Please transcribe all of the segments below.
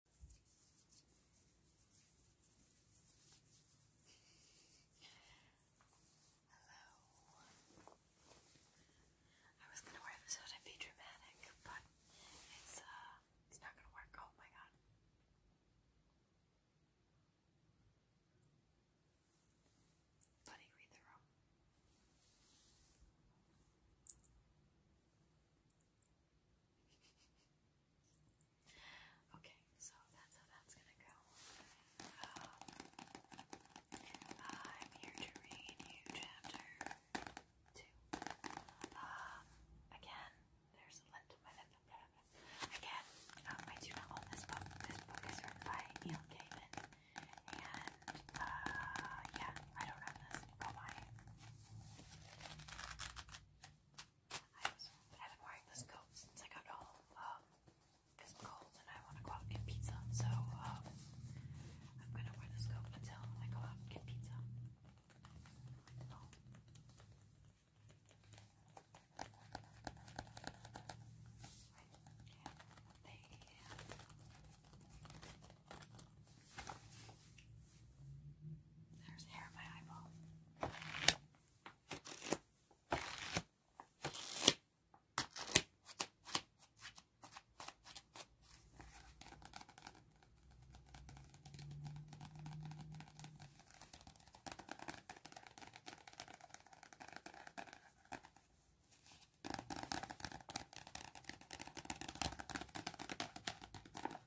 Hello. I was gonna wear this out and be dramatic, but it's uh it's not gonna work. Oh my god. Buddy, read Okay, so that's how that's gonna go. Um, I'm here to read you chapter two. Um, again, there's a lint in my lip. Blah, Again, um, I do this book. This book is written by Neil Gaiman, and uh, yeah, I don't have this. Go I've been wearing this coat since I got home um, because I'm cold and I want to go out and get pizza. So um, I'm going to wear this coat until I go out and get pizza. There's hair in my eyeball. I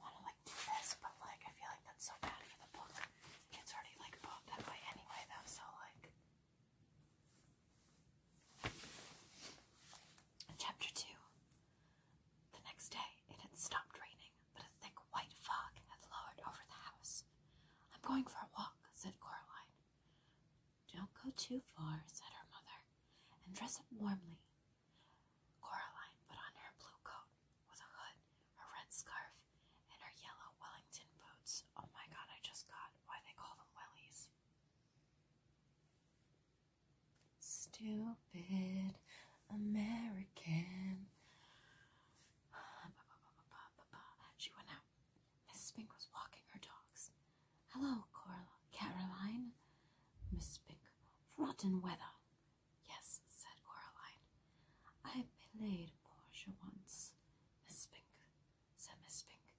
want to like do this, but like I feel like that's so bad for the book. It's already like bought that way anyway, though. So like, chapter two. The next day it had stopped raining, but a thick white fog had lowered over the house. I'm going for a walk, said Coraline. Don't go too far, said her mother, and dress up warmly. Coraline put on her blue coat with a hood, her red scarf, and her yellow Wellington boots. Oh my god, I just got why they call them wellies. Stupid American. She went out. Mrs. Pink was walking her dogs. Hello, Cor- Caroline. Miss Pink. Rotten weather. Yes, said Coraline. I played Portia once. Miss Pink, said Miss Pink.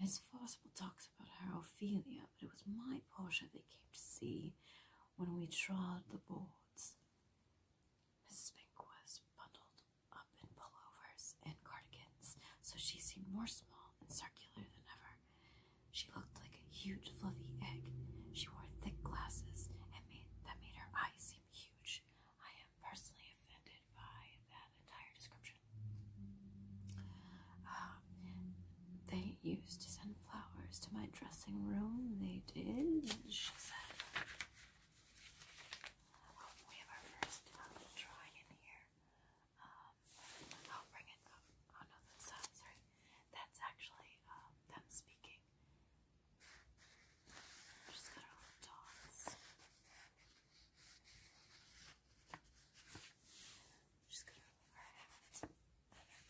Miss Forcible talks about her Ophelia, but it was my Portia they came to see when we trod the boards. Mrs. Pink was bundled up in pullovers and cardigans, so she seemed more small and circular than ever. She looked like a huge fluffy egg. She wore thick glasses and made, that made her eyes seem huge. I am personally offended by that entire description. Um, they used to send flowers to my dressing room. They did, she said. Um, we have our first um, drawing in here. Um, I'll bring it up. Oh no, that's sorry. That's actually them speaking. she got her little dogs. she got her, hat and her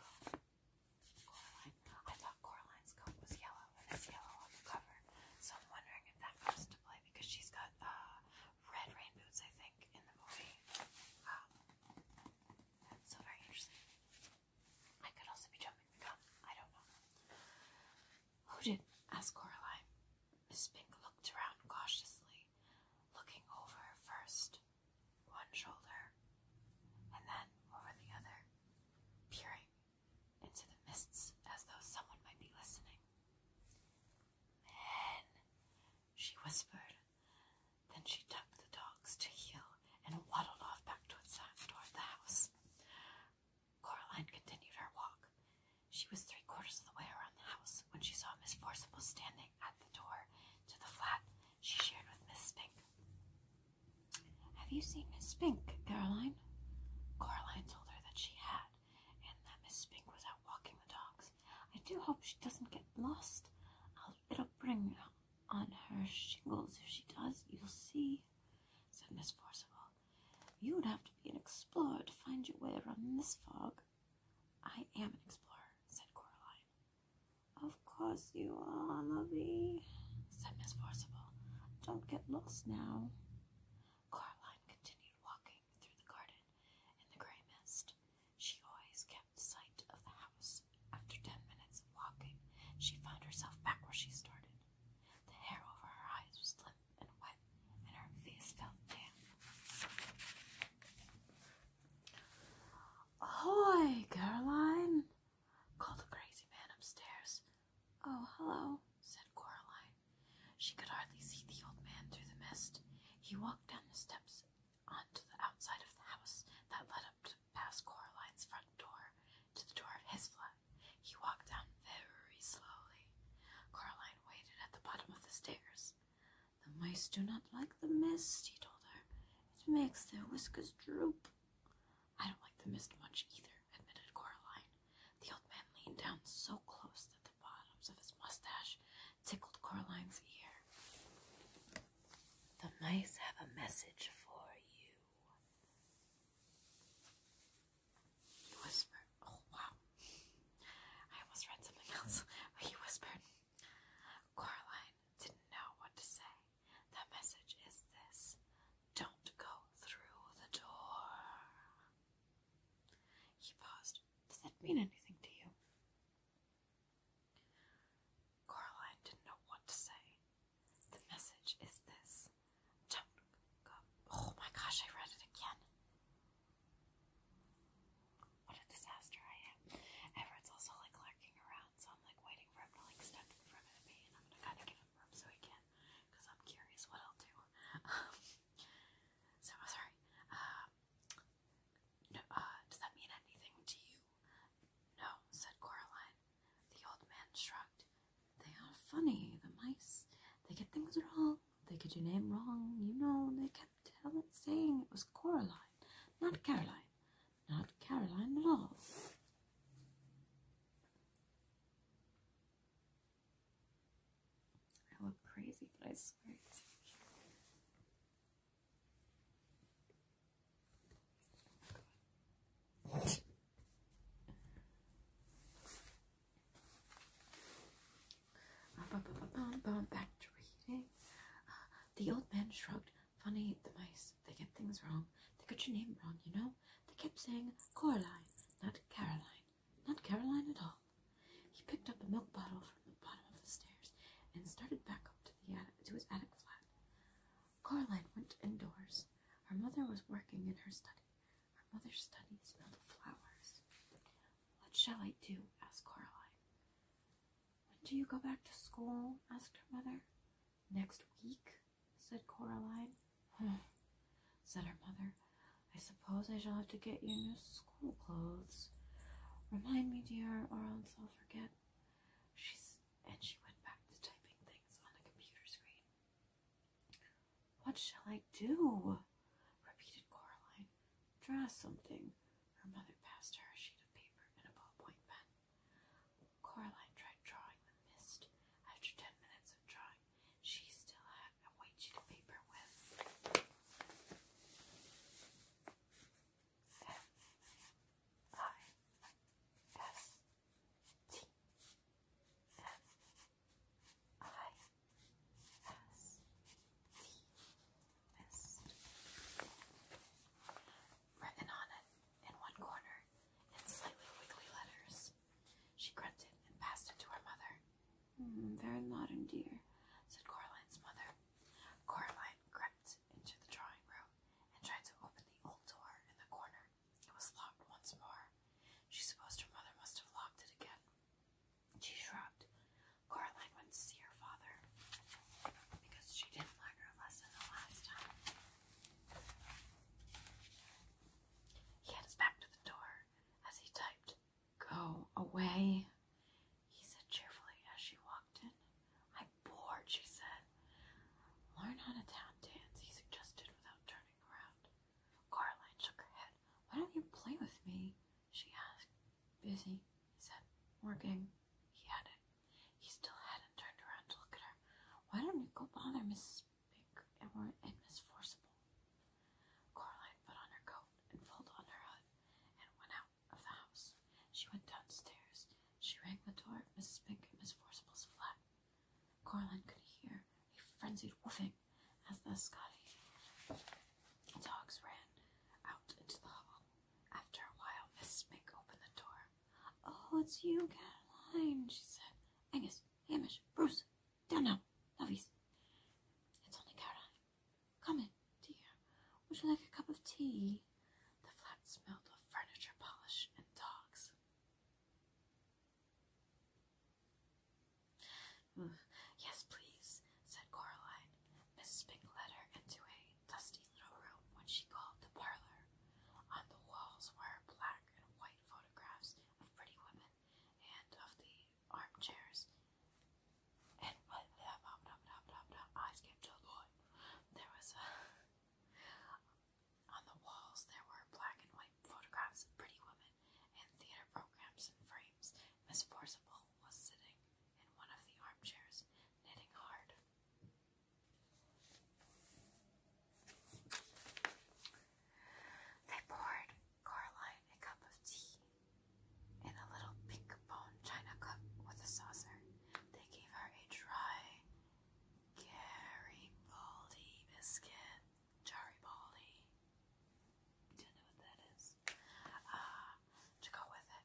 coat. I thought Coraline's coat was yellow, and it's yellow on the cover. So I'm wondering if that comes into play because she's got uh, red rain boots, I think, in the movie. Wow. Um, so very interesting. I could also be jumping the gun. I don't know. Who did? asked Coraline. Miss Pink looked around cautiously, looking over first one shoulder, and then over the other, peering into the mists as though someone might be listening. Men, she whispered. Then she tucked the dogs to heel and waddled off back towards of the house. Caroline continued her walk. She was three quarters of the way around the house when she saw Miss Forcible standing at the door to the flat she shared with Miss Spink. Have you seen Miss Spink, Caroline? Caroline told her that she had, and that Miss Spink was out walking the dogs. I do hope she doesn't get lost. it'll bring on her shingles if she does. You'll see, said Miss Forcible. You would have to be an explorer to find your way around this fog. I am an explorer, said Caroline. Of course you are, lovey, said Miss Forcible. Don't get lost now. Caroline continued walking through the garden in the grey mist. She always kept sight of the house. After ten minutes of walking, she found herself back where she started. The hair over her eyes was limp and wet, and her face felt damp. Ahoy, Caroline! called the crazy man upstairs. Oh, hello, said Caroline. She could hardly see the old man through the mist. He walked down the steps onto the outside of the house that led up to, past Coraline's front door to the door of his flat. He walked down very slowly. Caroline waited at the bottom of the stairs. The mice do not like the mist, he told her. It makes their whiskers droop. I don't like the mist much either, admitted Coraline. The old man leaned down so close that the bottoms of his mustache tickled Coraline's ear. The mice have a message for you, he whispered. Oh, wow. I almost read something else. he whispered, Coraline didn't know what to say. The message is this don't go through the door. He paused. Does that mean anything to you? Coraline didn't know what to say. The message is this. Don't go. Oh my gosh, I read it again. What a disaster I am. Everett's also like lurking around, so I'm like waiting for him to like step in front of me, and I'm gonna kind of give him room so he can, I'm curious what I'll do. Um, so sorry. Um, no, uh, does that mean anything to you? No, said Coraline. The old man shrugged. They are funny, the mice. They get things wrong. They get your name wrong. You know, they kept telling, saying it was Coraline, not Caroline, not Caroline at all. I look crazy, but I swear back to reading. Uh, the old man shrugged. Funny, the mice, they get things wrong. They got your name wrong, you know? They kept saying Coraline, not Caroline. Not Caroline at all. He picked up a milk bottle from the bottom of the stairs and started back up to, the to his attic flat. Coraline went indoors. Her mother was working in her study. Her mother's study smelled of flowers. What shall I do? asked Caroline. When do you go back to school? asked her mother. Next week, said Coraline. Hm, said her mother. I suppose I shall have to get you new school clothes. Remind me, dear, or else I'll forget. She's and she went back to typing things on the computer screen. What shall I do? Grandma, repeated Coraline. Draw something. Her mother passed her a sheet of paper and a ballpoint pen. Coraline tried drawing the mist. After ten minutes of drawing, she still had a white sheet of paper with F I S T F I S T Written on it, in one corner, in slightly wiggly letters. She grunted and passed it to her mother. Mm-hmm, very modern, dear, said Caroline's mother. Caroline crept into the drawing room and tried to open the old door in the corner. It was locked once more. She supposed her mother must have locked it again. She shrugged. Caroline went to see her father because she didn't learn her lesson the last time. He had back to the door as he typed, Go away, he said cheerfully as she walked in. I'm bored, she said. Learn how to tap dance, he suggested without turning around. Caroline shook her head. Why don't you play with me? She asked. Busy, he said. Working. He added. He still hadn't turned around to look at her. Why don't you go bother Mrs. Pink and Miss Forcible? Coraline put on her coat and pulled on her hood and went out of the house. She went downstairs. She rang the door of Mrs. Pink and Miss Forcible's flat. Coraline could hear a frenzied whooping as the Scottish dogs ran out into the hall, after a while Miss Smig opened the door. Oh, it's you, Caroline, she said. Angus, Hamish, Bruce, down now, novice. It's only Caroline. Come in, dear. Would you like a cup of tea? The flat smelled of furniture polish and dogs. Yes, please, said Caroline. Mrs. Pink led her into a dusty little room which she called the parlor. On the walls were black and white photographs of pretty women and of the armchairs. And when the eyes came there was On the walls, there were black and white photographs of pretty women and theater programs and frames, Miss Forcible was sitting in one of the armchairs, knitting hard. They poured Caroline a cup of tea in a little pink bone china cup with a saucer. They gave her a dry Garibaldi biscuit Jariboli. Don't know what that is. Uh, to go with it.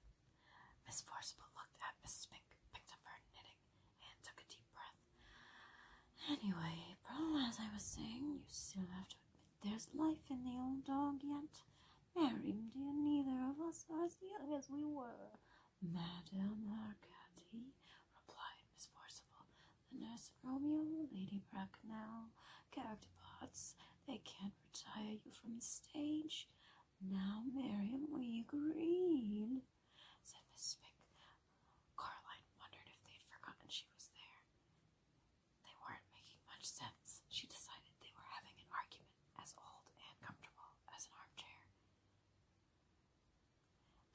Miss Forcible looked at Miss Pink, picked up her knitting, and took a deep breath. Anyway, problem as I was saying, you still have to admit there's life in the old dog yet. Mary, dear, neither of us are as young as we were. Madame Arcady, replied Miss Forcible, the nurse Romeo, Lady Bracknell, character parts. They can't retire you from the stage. Now, Miriam, we agreed, said Miss Spick. Caroline wondered if they'd forgotten she was there. They weren't making much sense. She decided they were having an argument as old and comfortable as an armchair.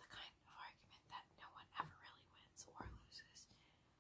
The kind of argument that no one ever really wins or loses,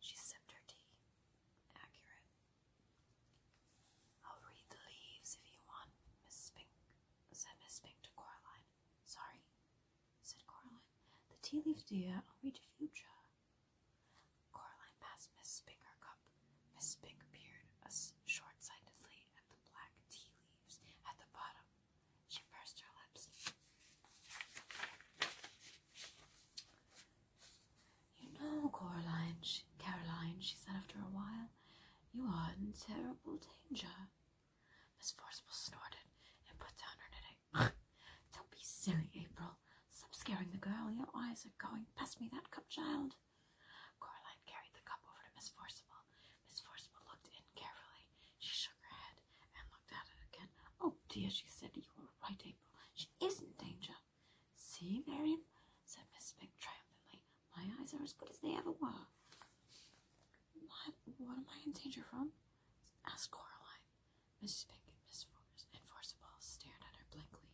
she sipped her tea. Accurate. I'll read the leaves if you want, Miss Spink, said Miss Spink to Coraline. Sorry, said Coraline. The tea leaves, dear, I'll read your future. Coraline passed Miss Spink her cup. Miss Spink peered short-sightedly at the black tea leaves at the bottom she pursed her lips. You know, Caroline. Caroline, she said after a while, you are in terrible danger. Miss Forcible snorted and put down her knitting. Don't be silly, April. Stop scaring the girl. Your eyes are going Pass me, that cup, child. Caroline carried the cup over to Miss Forcible. Miss Forcible looked in carefully. She shook her head and looked at it again. Oh dear, she said, you were right, April. She is in danger. See, Marian, said Miss Pink triumphantly, my eyes are as good as they ever were. What, what am I in danger from? asked Coraline. Miss Pink, and Miss Force and Forcible stared at her blankly.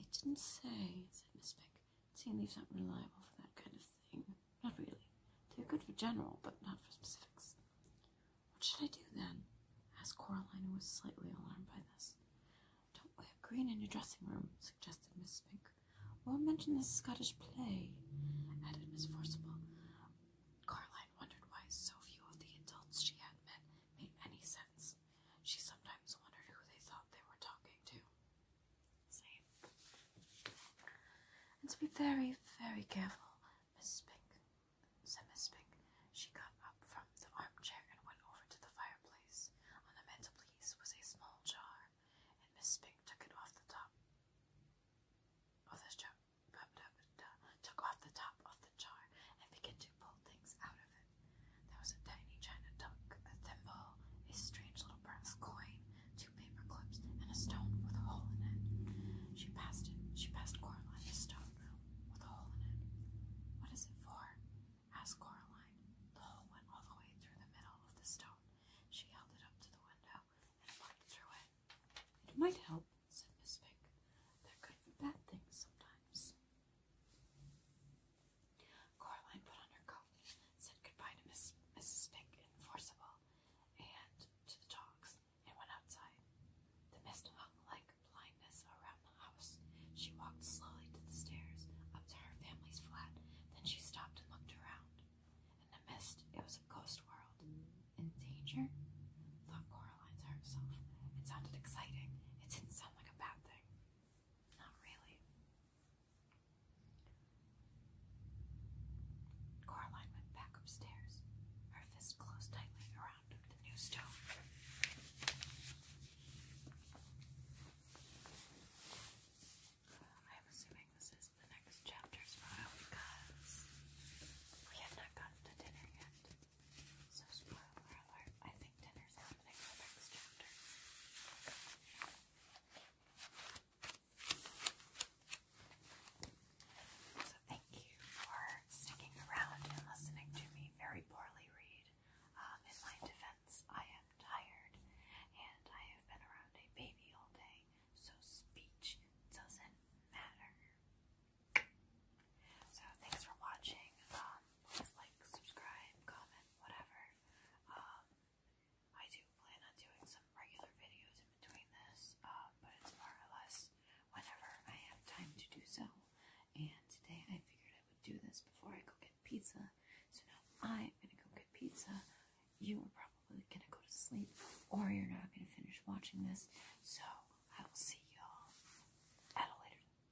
It didn't say, said Miss Pink. Seeing leaves aren't reliable for that kind of thing. Not really. They're good for general, but not for specifics. What should I do then? asked Coraline, who was slightly alarmed by this. Don't wear green in your dressing room, suggested Miss Spink. Or mention the Scottish play, added Miss Forcible. Coraline wondered why so few of the adults she had met made any sense. She sometimes wondered who they thought they were talking to. And to be very, very careful Miss Spink, said Miss Spink. She got up from the armchair and went over to the fireplace. On the mantelpiece was a small jar, and Miss Spink took it off the top of the jar, took off the top of the jar and began to pull things out of it. There was a tiny china duck, a thimble, a strange little bronze coin, two paper clips, and a stone with a hole in it. She passed it. She passed Coraline a stone with a hole in it. What is it for? asked Coraline. The hole went all the way through the middle of the stone. She held it up to the window and looked through it. It might help, said Miss Pink. They're good for bad things sometimes. Coraline put on her coat, said goodbye to Miss, Mrs. Pink in Forcible and to the dogs, and went outside. The mist hung like blindness around the house. She walked slowly to the stairs, up to her family's flat. Then she stopped and looked around. In the mist, it was a ghost world. In danger? thought Coraline to herself. It sounded exciting. It didn't sound like a bad thing. Not really. Coraline went back upstairs, her fist closed tightly around the new stove. I'm assuming this is the next chapter's photo because we have not gotten to dinner yet. So, spoiler alert, I think dinner's happening in the next chapter. So thank you for sticking around and listening to me very poorly read. Um, in my defense, I am tired and I have been around a baby all day, so speech doesn't matter. So thanks for watching. Um, please like, subscribe, comment, whatever. Um, I do plan on doing some regular videos in between this, um, but it's more or less whenever I have time to do so. And today I figured I would do this before I go get pizza. So now I'm going to go get pizza. You are probably going to go to sleep, or you're not going to finish watching this. So I will see y'all at a later time.